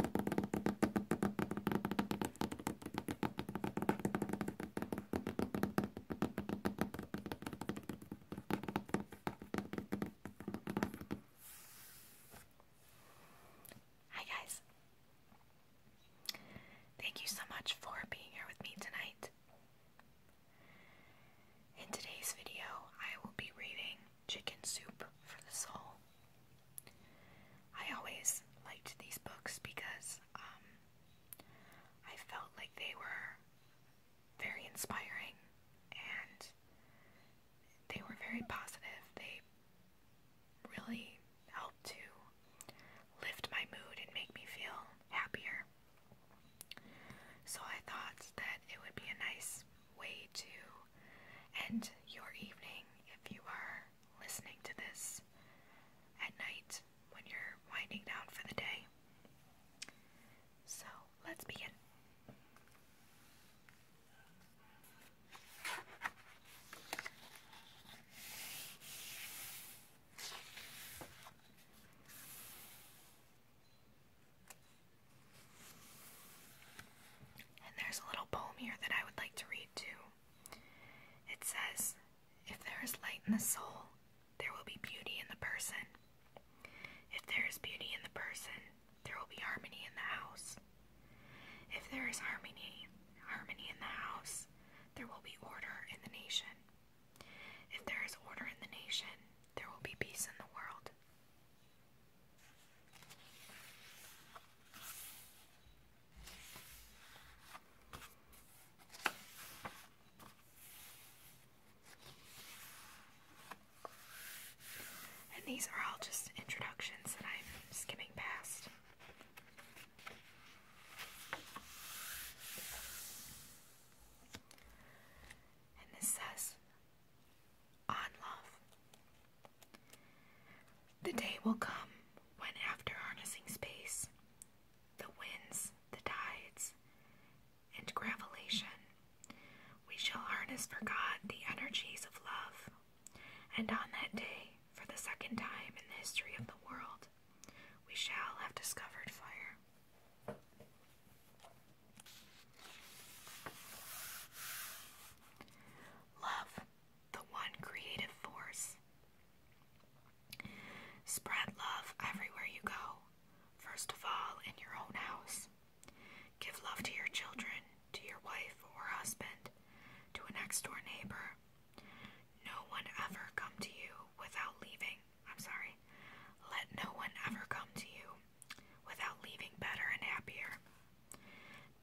Hi, guys. Thank you so much for being here with me tonight. In today's video, I will be reading Chicken Soup for the Soul. I always liked these books because um, I felt like they were very inspiring and they were very positive. They really helped to lift my mood and make me feel happier. So I thought that it would be a nice way to and your evening if you are listening to this at night when you're winding down for the day. So let's begin. And there's a little poem here that I would like to read too. It says, If there is light in the soul, there will be beauty in the person. If there is beauty in the person, there will be harmony in the house. If there is harmony, harmony in the house, there will be order in the nation. If there is order in the nation, there will be peace in the world. And these are all just introductions that I'm skimming past. And this says on love. The day will come when, after harnessing space, the winds, the tides, and gravitation, we shall harness for God the energies of love, and on that day, for the second time in the history of the world, we shall have discovered fire. Love, the one creative force. Spread love everywhere you go, first of all, in your own house. Give love to your children, to your wife or husband, to a next door neighbor. No one ever come to you without leaving. I'm sorry. Let no one ever come to you without leaving better and happier.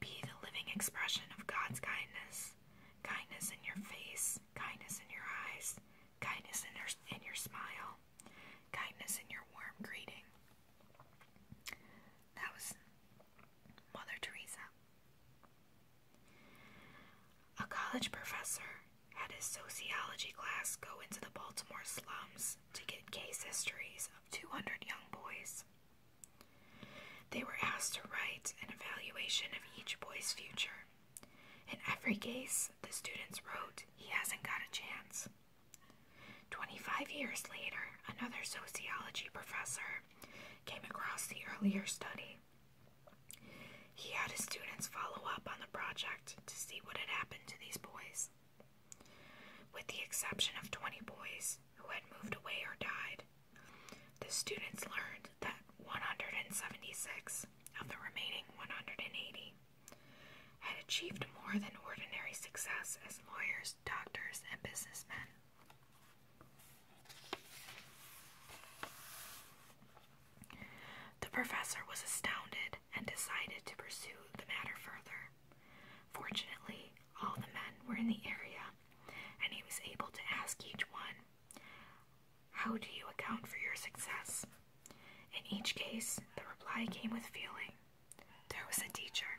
Be the living expression of God's kindness kindness in your face, kindness in your eyes, kindness in your, smile, kindness in your warm greeting. That was Mother Teresa. A college professor had his sociology class go into the Baltimore slums to get case histories of 200 young boys. They were asked to write an evaluation of each boy's future. In every case, the students wrote, He hasn't got a chance. 25 years later, another sociology professor came across the earlier study. He had his students follow up on the project to see what had happened to these boys. With the exception of 20 boys who had moved away or died, the students learned that 176 of the remaining 180 had achieved more than ordinary success as lawyers, doctors, and businessmen. The professor was astounded and decided to pursue the matter further. Fortunately, all the men were in the area, and he was able to ask each one, How do you account for your success? In each case, the reply came with feeling. There was a teacher.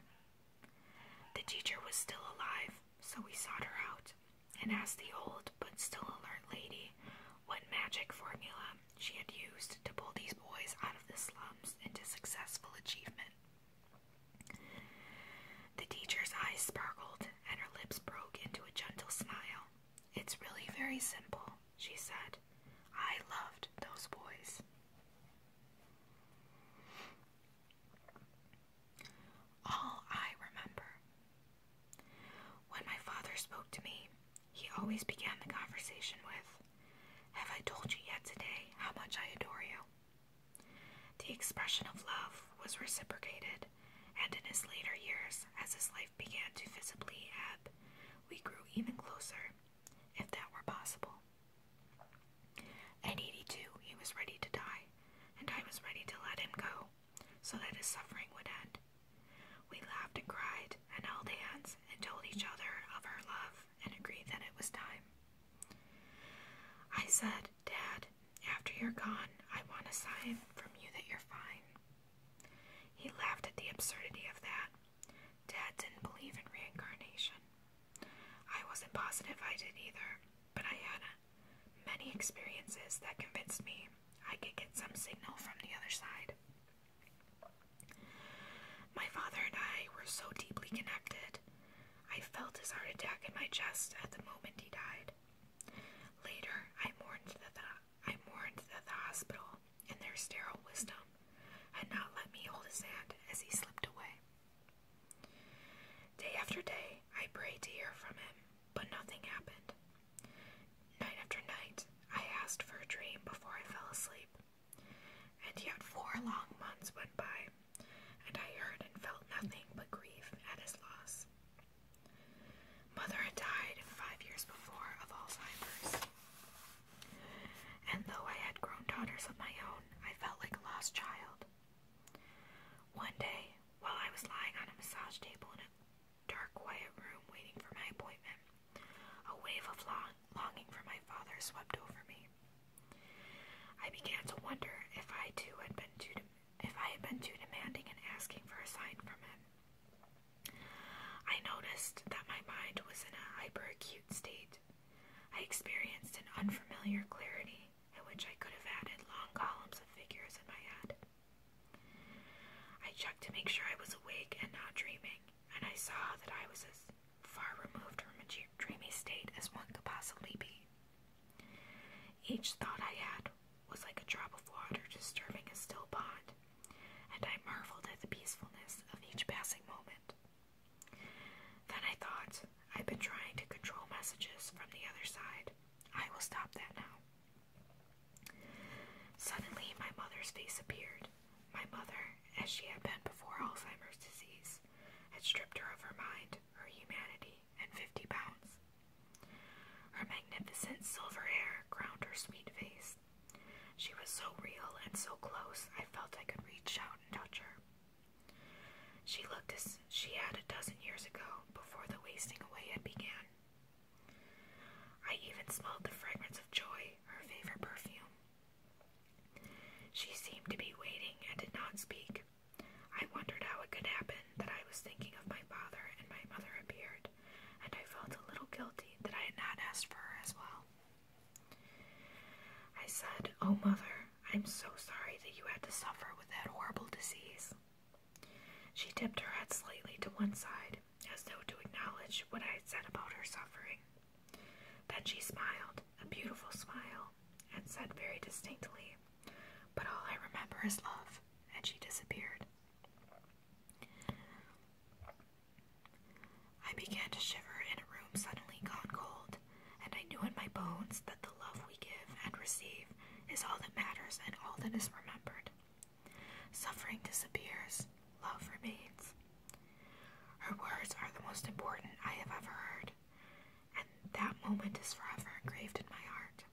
The teacher was still alive, so we sought her out and asked the old but still alert lady what magic formula she had used to pull these boys out of the slums into successful achievement. The teacher's eyes sparkled and her lips broke into a gentle smile. It's really very simple, she said. I loved those boys. All I remember. When my father spoke to me, he always began the conversation with, Have I told you yet today how much I adore you? The expression of love was reciprocated, and in his later years, as his life began to visibly ebb, we grew even closer, if that were possible. At 82, he was ready to die, and I was ready to let him go, so that his suffering would end. We laughed and cried and held hands and told each other of our love and agreed that it was time. I said, Dad, after you're gone, I want a sign from you that you're fine. He laughed at the absurdity of that. Dad didn't believe in reincarnation. I wasn't positive I did either, but I had many experiences that convinced me I could get some signal from the other side. My father and I were so deeply connected. I felt his heart attack in my chest at the moment he died. Later, I mourned at the, hospital, in their sterile wisdom, had not let me hold his hand as he slipped away. Day after day, I prayed to hear from him, but nothing happened. Night after night, I asked for a dream before I fell asleep. And yet four long months went by, and I heard and felt nothing but grief at his loss. Mother had died five years before of Alzheimer's. And though I had grown daughters of my own, I felt like a lost child. One day, while I was lying on a massage table in a dark, quiet room waiting for my appointment. A wave of longing for my father swept over me. I began to wonder if I too had been too if I had been too demanding and asking for a sign from him. I noticed that my mind was in a hyperacute state. I experienced an unfamiliar clarity in which I could have added long columns of figures in my head. I checked to make sure I was awake and not dreaming, and I saw that I was as far removed from a dreamy state as one could possibly be. Each thought I had was like a drop of water disturbing a still pond, and I marveled at the peacefulness of each passing moment. Then I thought, I've been trying to control messages from the other side. I will stop that now. Suddenly, my mother's face appeared. My mother, as she had been before Alzheimer's disease, had stripped her of her mind, her humanity, and fifty pounds. Her magnificent silver hair crowned her sweet face. She was so real and so close, I felt I could reach out and touch her. She looked as she had a dozen years ago, before the wasting away had began. I even smelled the fragrance of joy, her favorite perfume. She seemed to be waiting and did not speak. I wondered how it could happen that I was thinking of my father and my mother appeared, and I felt a little guilty that I had not asked for her as well. I said, Oh, mother, I'm so sorry that you had to suffer with that horrible disease. She tipped her head slightly to one side, as though to acknowledge what I had said about her suffering. Then she smiled, a beautiful smile, and said very distinctly, But all I remember is love, and she disappeared. I began to shiver in a room suddenly gone cold, and I knew in my bones that the love we give and receive is all that matters and all that is remembered. Suffering disappears, love remains. Her words are the most important I have ever heard, and that moment is forever engraved in my heart.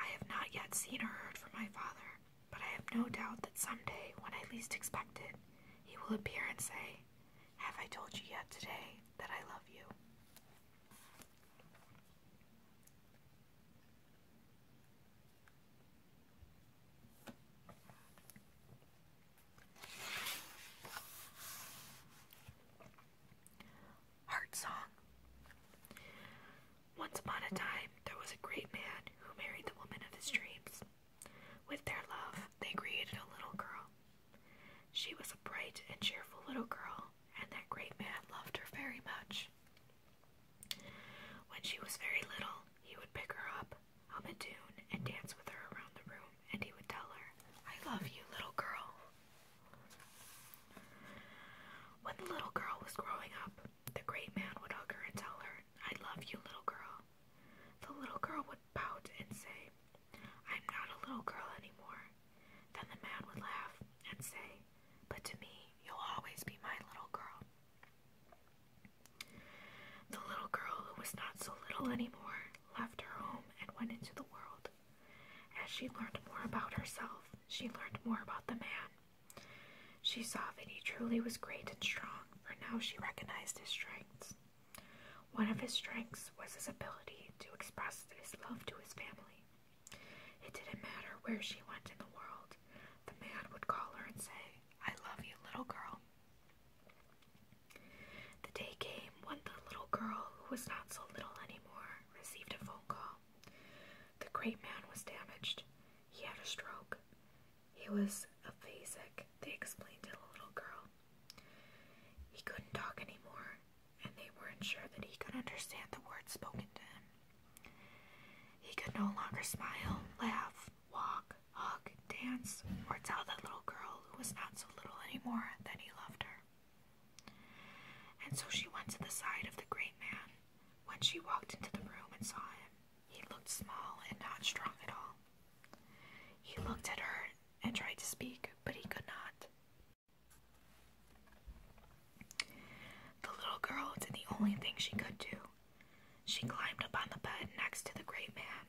I have not yet seen or heard from my father, but I have no doubt that someday, when I least expect it, he will appear and say, Have I told you yet today that I love you? Heart Song Once upon a time, there was a great man who married the woman of his dreams. With their love, they created a little girl. She was a bright and cheerful little girl, and that great man loved her very much. When she was very little, he would pick her up, hum a tune, and dance with her around the room, and he would tell her, I love you, little girl. When the little girl was growing up, the great man would hug her and tell her, I love you, little girl. The little girl would pout and say, I'm not a little girl anymore. Then the man would laugh and say, but to me, you'll always be my little girl. The little girl, who was not so little anymore, left her home and went into the world. As she learned more about herself, she learned more about the man. She saw that he truly was great and strong, for now she recognized his strengths. One of his strengths was his ability to express his love to his family. It didn't matter where she went in the world, the man would call her and say, I love you, little girl. The day came when the little girl, who was not so little anymore, received a phone call. The great man was damaged. He had a stroke. He was aphasic, they explained to the little girl. He couldn't talk anymore, and they weren't sure that he could understand the words spoken to him. He could no longer smile, laugh, walk, hug, dance, or tell that little girl who was not so little anymore that he loved her. And so she went to the side of the great man. When she walked into the room and saw him, he looked small and not strong at all. He looked at her and tried to speak, but he could not. The little girl did the only thing she could do. She climbed up on the bed next to the great man.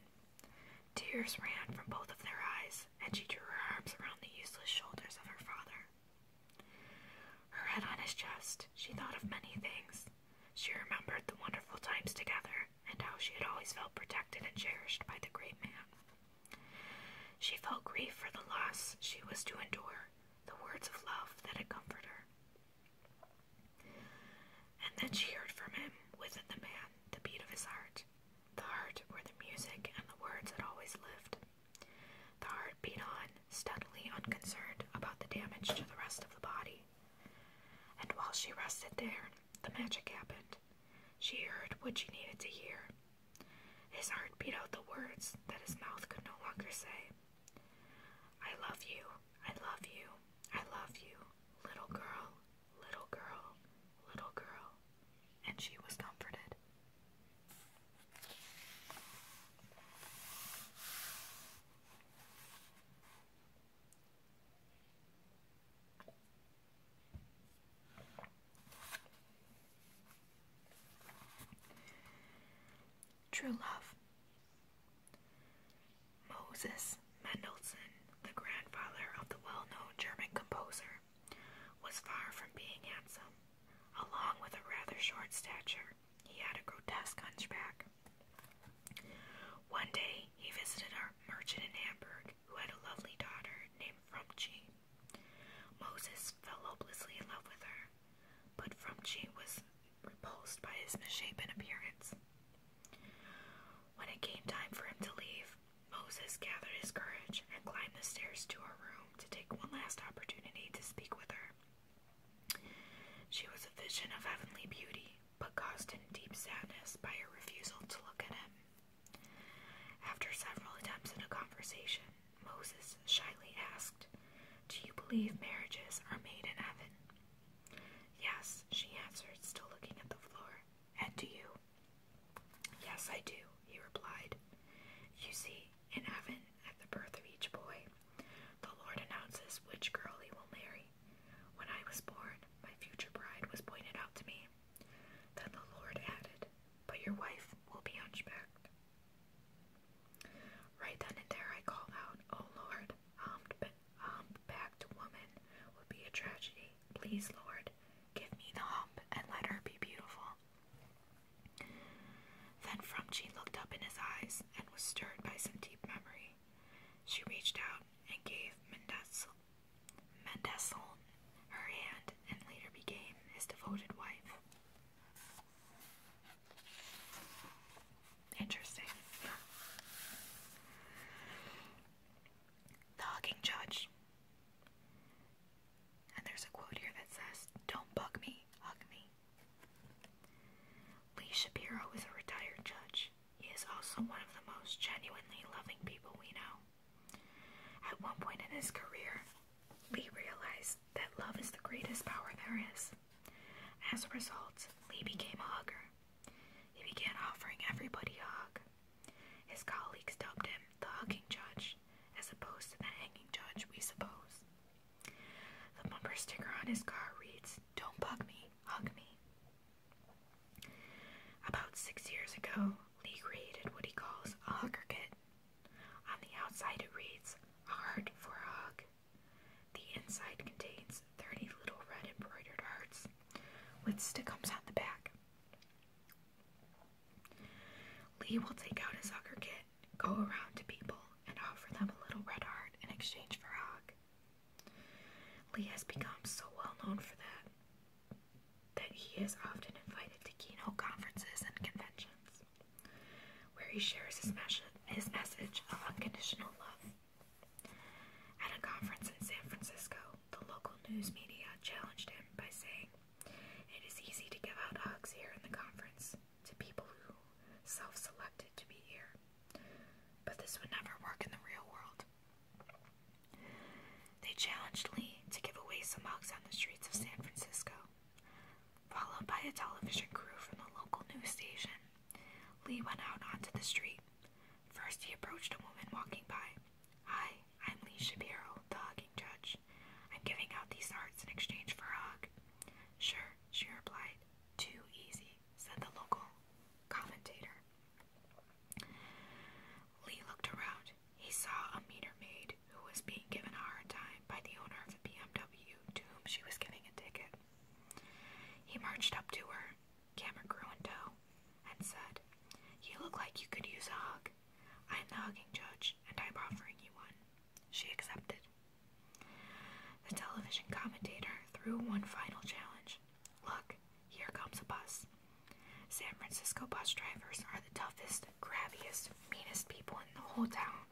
Tears ran from both of their eyes, and she drew her arms around the useless shoulders of her father. Her head on his chest, she thought of many things. She remembered the wonderful times together and how she had always felt protected and cherished by the great man. She felt grief for the loss she was to endure, the words of love that had comforted her. And then she heard from him, within the man, the beat of his heart, the heart where the music and the words had always lived. The heart beat on, steadily unconcerned about the damage to the rest of the body. And while she rested there, the magic happened. She heard what she needed to hear, his heart beat out the words that his mouth could no longer say. I love you, I love you, I love you, little girl, little girl, little girl. And she was comforted. True Love. Moses Mendelssohn, the grandfather of the well known German composer, was far from being handsome. Along with a rather short stature, he had a grotesque hunchback. One day he visited a merchant in Hamburg who had a lovely daughter named Frumchi. Moses fell hopelessly in love with her, but from Frumchi was repulsed by his misshapen appearance. When it came time for him to leave, Moses gathered his courage and climbed the stairs to her room to take one last opportunity to speak with her. She was a vision of heavenly beauty, but caused him deep sadness by her refusal to look at him. After several attempts at a conversation, Moses shyly asked, Do you believe marriages are made in heaven? Yes, she answered, still looking at the floor. And do you? Yes, I do, he replied. You see, in heaven, at the birth of each boy, the Lord announces which girl he will marry. When I was born, my future bride was pointed out to me. Then the Lord added, But your wife will be hunchbacked. Right then and there I called out, Oh Lord, humpbacked woman would be a tragedy. Please, Lord, give me the hump and let her be beautiful. Then Frumchi looked up in his eyes and was stirred by some deep memory. She reached out and gave Mendesel her hand and later became his devoted wife. Interesting. The hugging judge. And there's a quote here that says, Don't bug me, hug me. Lee Shapiro is a retired judge. He is also one of the most genuinely loving people we know. At one point in his career, Lee realized that love is the greatest power there is. As a result, Lee became a hugger. He began offering everybody a hug. His colleagues dubbed him the hugging judge, as opposed to the hanging judge, we suppose. The bumper sticker on his car reads, Don't bug me, hug me. About six years ago, Lee created what he calls a hugger kit on the outside, it reads, heart for a hug. The inside contains 30 little red embroidered hearts with stickums on the back. Lee will take out his soccer kit, go around to people, and offer them a little red heart in exchange for a hug. Lee has become so well known for that that he is often invited to keynote conferences and conventions, where he shares his, message of unconditional love. At a conference in San Francisco, the local news media challenged him by saying, It is easy to give out hugs here in the conference to people who self selected to be here, but this would never work in the real world. They challenged Lee to give away some mugs on the streets of San Francisco. Followed by a television crew from the local news station, Lee went out onto the street. First, he approached a woman walking by. Hi, I'm Lee Shapiro, the hugging judge. I'm giving out these hearts in exchange for a hug. Sure, she replied. Too easy, said the local commentator. Lee looked around. He saw a meter maid who was being given a hard time by the owner of a BMW to whom she was giving a ticket. He marched up to her, camera crew in tow, and said, You look like you could use a hug. I'm the hugging judge, and I'm offering you one. She accepted. The television commentator threw one final challenge. Look, here comes a bus. San Francisco bus drivers are the toughest, graviest, meanest people in the whole town.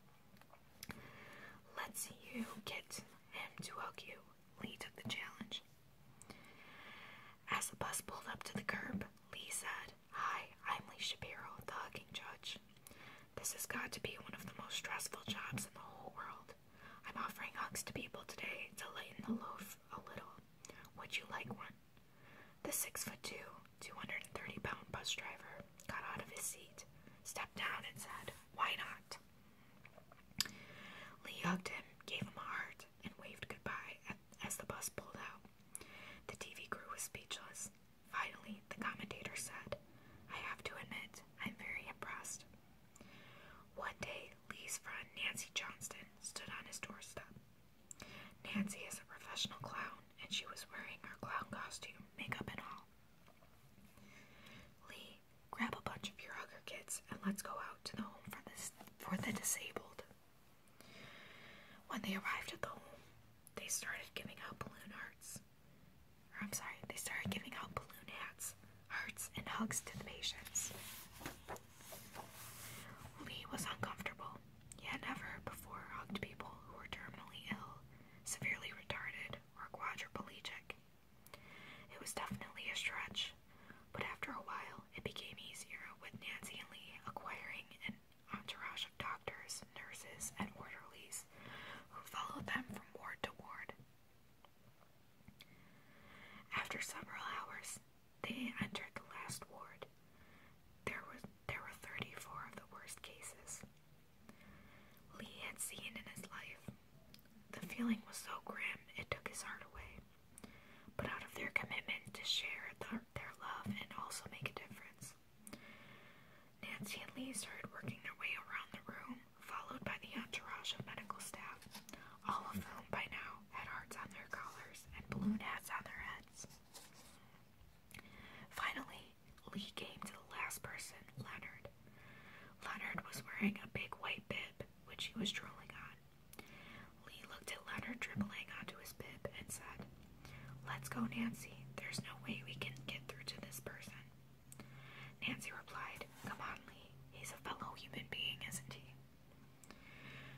Let's you get him to hug you. Lee took the challenge. As the bus pulled up to the curb, Lee said, Hi, I'm Lee Shapiro, the hugging judge. This has got to be one of the most stressful jobs in the whole world. I'm offering hugs to people today to lighten the load a little. Would you like one? The six foot two, 230 pound bus driver got out of his seat, stepped down, and said, Why not? Lee hugged him, gave him a heart, and waved goodbye as the bus pulled out. The TV crew was speechless. Finally, the commentator said, I have to admit, I'm very impressed. One day, Lee's friend Nancy Johnston stood on his doorstep. Nancy is a professional clown, and she was wearing her clown costume, makeup, and all. Lee, grab a bunch of your other kids and let's go out to the home for, this, for the disabled. When they arrived at the home, they started giving out balloon hearts. I'm sorry, they started giving out balloon hats, hearts, and hugs to the patients. Lee was uncomfortable. He had never before hugged people who were terminally ill, severely retarded, or quadriplegic. It was definitely a stretch, but after a while it became easier with Nancy and Lee acquiring an entourage of doctors, nurses, and orderlies who followed them from ward to ward. After several hours, they entered the last ward. There was there were thirty-four of the worst cases Lee had seen in his life. The feeling was so grim it took his heart away. But out of their commitment to share the, their love and also make a difference, Nancy and Lee started working their way around the room, followed by the entourage of medical staff, all of whom by now had hearts on their collars and balloon hats on their heads. Finally, Lee came to the last person, Leonard. Leonard was wearing a big white bib, which he was drooling on. Lee looked at Leonard dribbling onto his bib and said, Let's go, Nancy. There's no way we can get through to this person. Nancy replied, Come on, Lee. He's a fellow human being, isn't he?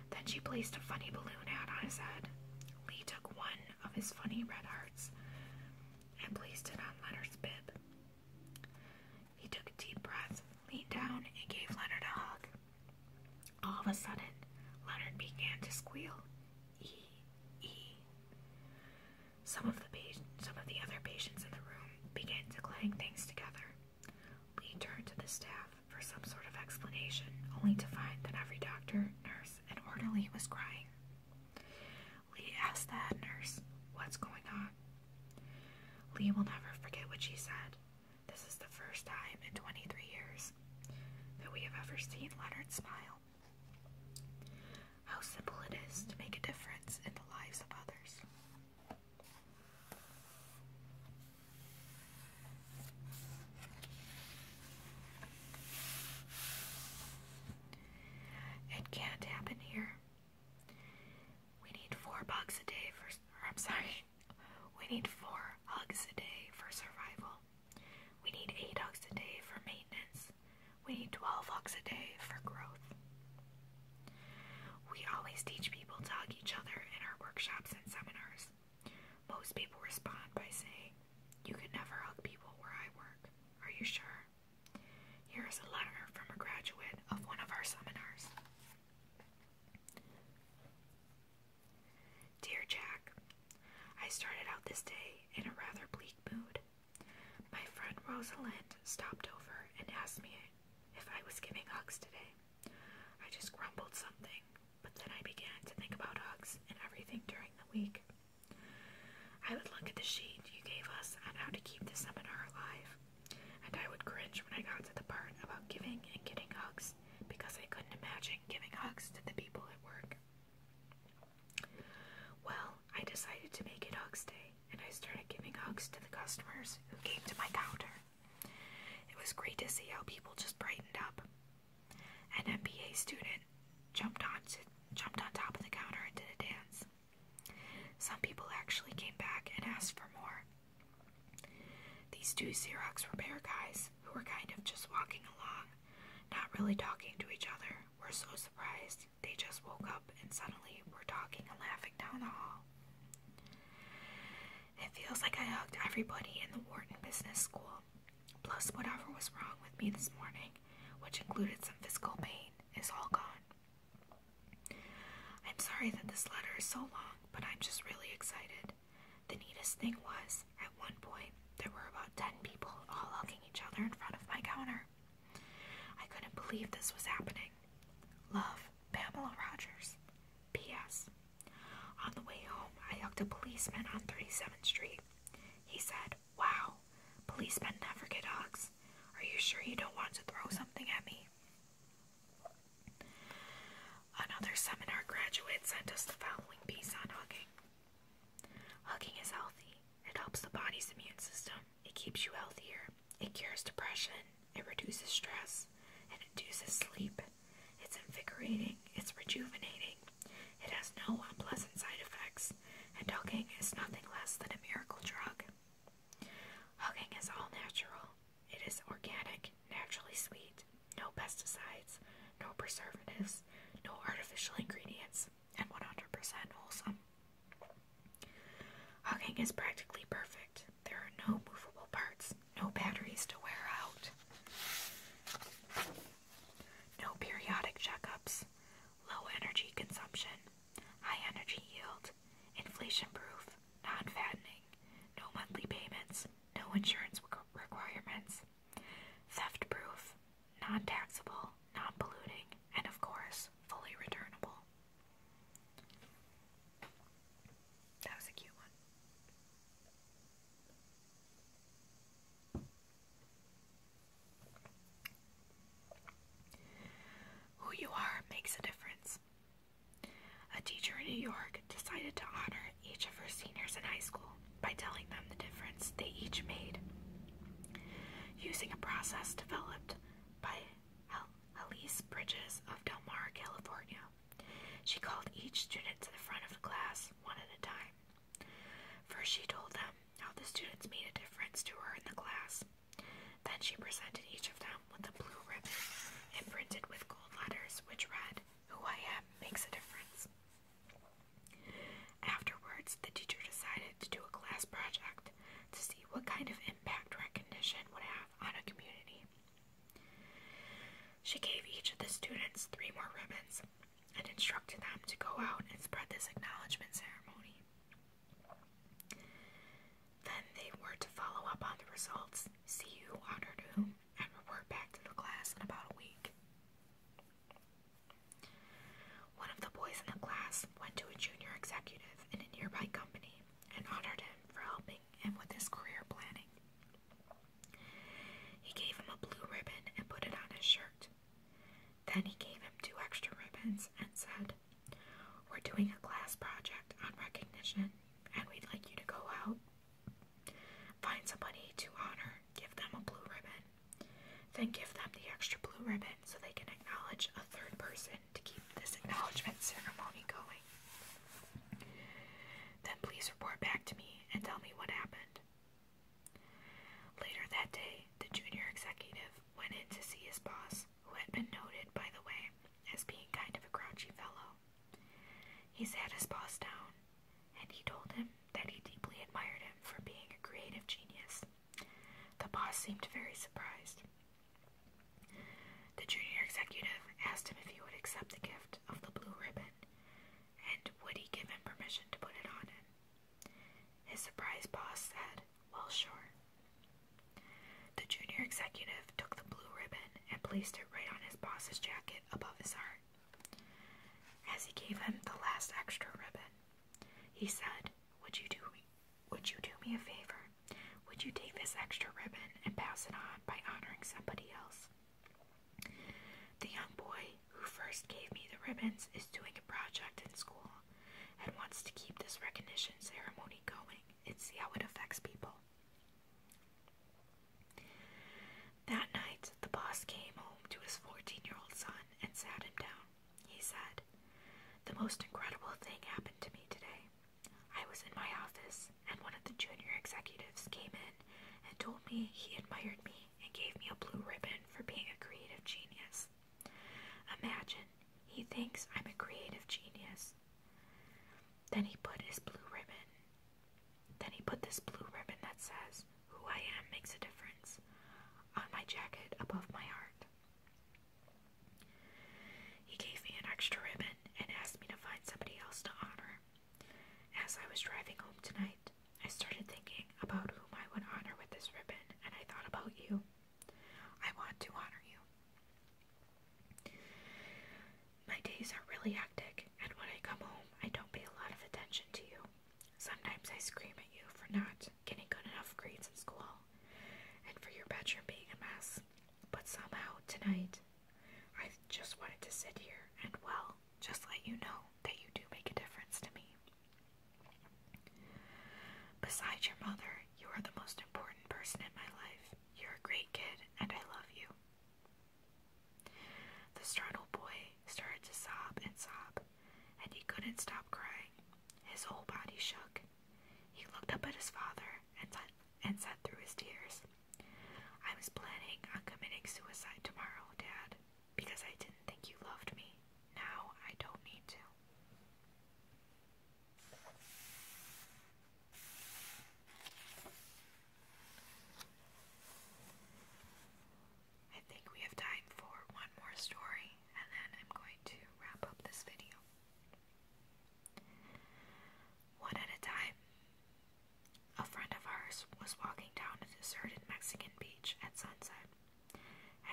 Then she placed a funny balloon hat on his head. Lee took one of his funny red hearts and placed it on Leonard's bib. He took a deep breath, leaned down, and gave Leonard a hug. All of a sudden, Leonard began to squeal. E, e. Some of the pa some of the other patients in the room began to clang things together. Lee turned to the staff for some sort of explanation, only to find that every doctor, nurse, and orderly was crying. Lee asked the head nurse, What's going on? Lee will never forget what she said. This is the first time in 23 years that we have ever seen Leonard smile. How simple it is to make a difference in the lives of others. It can't happen here. We need four bucks a day for. I'm sorry. We need four hugs a day for survival. We need eight hugs a day for maintenance. We need 12 hugs a day for growth. We always teach people to hug each other in our workshops and seminars. Most people respond by saying, You can never hug people where I work. Are you sure? Here is a letter from a graduate of one of our seminars. Dear Jack, I started out this day in a rather bleak mood. My friend Rosalind stopped over and asked me if I was giving hugs today. I just grumbled something, but then I began to think about hugs and everything during the week. I would look at the sheet you gave us on how to keep the seminar alive, and I would cringe when I got to the part about giving and getting hugs because I couldn't imagine giving hugs to the people at work. Well, I decided to make it Hugs Day, and I started giving hugs to the customers who came to my counter. It was great to see how people just brightened up. An MBA student jumped on jumped on top of the counter and did a dance. Some people actually came back and asked for more. These two Xerox repair guys, who were kind of just walking along, not really talking to each other, were so surprised they just woke up and suddenly were talking and laughing down the hall. It feels like I hugged everybody in the Wharton Business School. Plus, whatever was wrong with me this morning, which included some physical pain, is all gone. I'm sorry that this letter is so long, but I'm just really excited. The neatest thing was, at one point, there were about 10 people all hugging each other in front of my counter. I couldn't believe this was happening. Love, Pamela Rogers. P.S. On the way home, I hugged a policeman on 37th Street. He said, Wow, policemen never get hugs. Are you sure you don't want to throw something at me? Another seminar graduate sent us the following piece on hugging. Hugging is healthy. It helps the body's immune system. It keeps you healthier. It cures depression. It reduces stress. It induces sleep. It's invigorating. It's rejuvenating. It has no unpleasant side effects. And hugging is nothing less than a miracle drug. Hugging is all natural. It is organic, naturally sweet, no pesticides, no preservatives, no artificial ingredients, and 100% wholesome. Hugging is practically perfect. There are no movable parts, no batteries to wear out, no periodic checkups, low energy consumption, high energy yield, inflation proof, non fattening, no monthly payments, no insurance requirements, theft proof, non taxable, non polluting, and of course, fully returnable. That was a cute one. Who you are makes a difference. A teacher in New York decided to honor each of her seniors in high school by telling them the difference they each made using a process developed by Elise Bridges of Del Mar, California. She called each student to the front of the class, one at a time. First, she told them how the students made a difference to her in the class. Then she presented each of them with a blue ribbon imprinted with gold letters, which read, Who I am makes a difference. Afterwards, the teacher decided to do a class project to see what kind of impact recognition would have on a community. She gave each of the students three more ribbons and instructed them to go out and spread this acknowledgement ceremony. Then they were to follow up on the results, see who honored whom, and report back to the class in about a week. One of the boys in the class went to a junior executive in a nearby company and honored him for helping him with his career planning. He gave him a blue ribbon and put it on his shirt. Then he gave him two extra ribbons and said, We're doing a class project on recognition, and we'd like you to go out, find somebody to honor, give them a blue ribbon, then give them the extra blue ribbon so they can acknowledge a third person to keep this acknowledgement ceremony going. Then please report back to me and tell me what happened. Later that day, the junior executive went in to see his boss, who had been noted, by the way, as being kind of a grouchy fellow. He sat his boss down, and he told him that he deeply admired him for being a creative genius. The boss seemed very surprised. The junior executive asked him if he would accept the gift of the blue ribbon, and would he give him permission to put it on him. His surprised boss said, Well, sure. The junior executive took the blue ribbon and placed it right on his boss's jacket above his heart. As he gave him the last extra ribbon, he said, Would you do me would you do me a favor? Would you take this extra ribbon and pass it on by honoring somebody else? The young boy who first gave me the ribbons is doing a project in school and wants to keep this recognition ceremony going and see how it affects people. That night, the boss came home to his 14 year old son and sat him down. He said, The most incredible thing happened to me today. I was in my office, and one of the junior executives came in and told me he admired me and gave me a blue ribbon for being a creative genius. Imagine, he thinks I'm a creative genius. Then he put his blue ribbon. Then he put this blue ribbon that says, Who I am makes a difference, on my jacket above my heart. He gave me an extra ribbon and asked me to find somebody else to honor. As I was driving home tonight, I started thinking about whom I would honor with this ribbon, and I thought about you. I want to honor you. My days are really hectic, and when I come home, I don't pay a lot of attention to you. Sometimes I scream at you for not getting good enough grades in school, and for your bedroom being a mess. But somehow, tonight, I just wanted to sit here and, well, just let you know that you do make a difference to me. Besides your mother, you are the most important person in my life. You're a great kid, and I love you. The startled boy started to sob and sob, and he couldn't stop crying. His whole body shook. He looked up at his father and, and said through his tears, I was planning on committing suicide tomorrow, Dad, because I didn't think you loved me. Now I don't need to. I think we have time for one more story, and then I'm going to wrap up this video. One at a time. A friend of ours was walking down a deserted Mexican beach at sunset.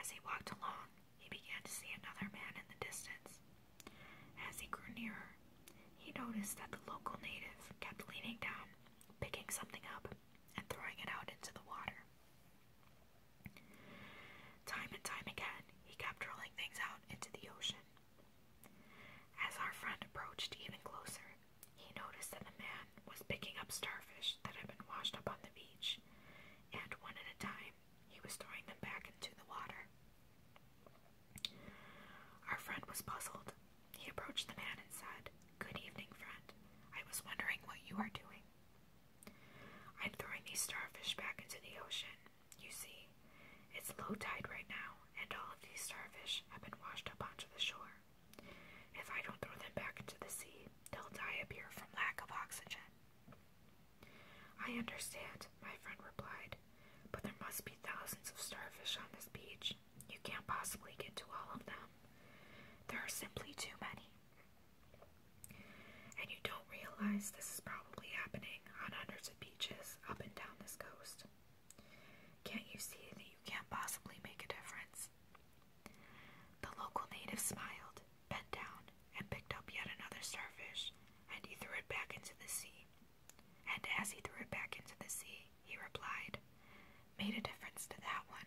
As he walked along, he began to see another man in the distance. As he grew nearer, he noticed that the local native kept leaning down, picking something up, and throwing it out into the water. Time and time again, he kept rolling things out into the ocean. As our friend approached even closer, he noticed that the man was picking up starfish that had been washed up on the beach, and one at a time he was throwing them back into the water. Our friend was puzzled. He approached the man and said, Good evening, friend. I was wondering what you are doing. I'm throwing these starfish back into the ocean. You see, it's low tide right now, and all of these starfish have been washed up onto the shore. If I don't throw them back into the sea, they'll die up here from lack of oxygen. I understand, my friend replied, but there must be thousands of starfish on this beach. You can't possibly get to all of them. There are simply too many. And you don't realize this is probably happening on hundreds of beaches up and down this coast. Can't you see that you can't possibly make a difference? The local native smiled, bent down, and picked up yet another starfish, and he threw it back into the sea. And as he threw it back into the sea, he replied, Made a difference to that one.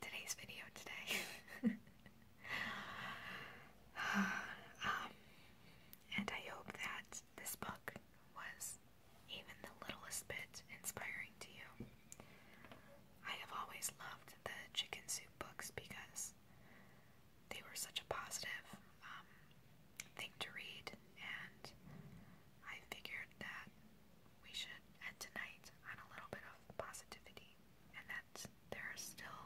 today's video today. Um, and I hope that this book was even the littlest bit inspiring to you. I have always loved the chicken soup books because they were such a positive um, thing to read, and I figured that we should end tonight on a little bit of positivity, and that there are still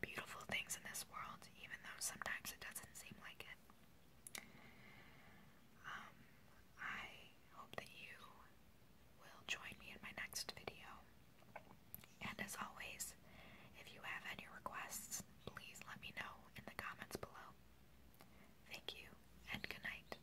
beautiful things in this world, even though sometimes it doesn't seem like it. Um, I hope that you will join me in my next video. And as always, if you have any requests, please let me know in the comments below. Thank you, and good night.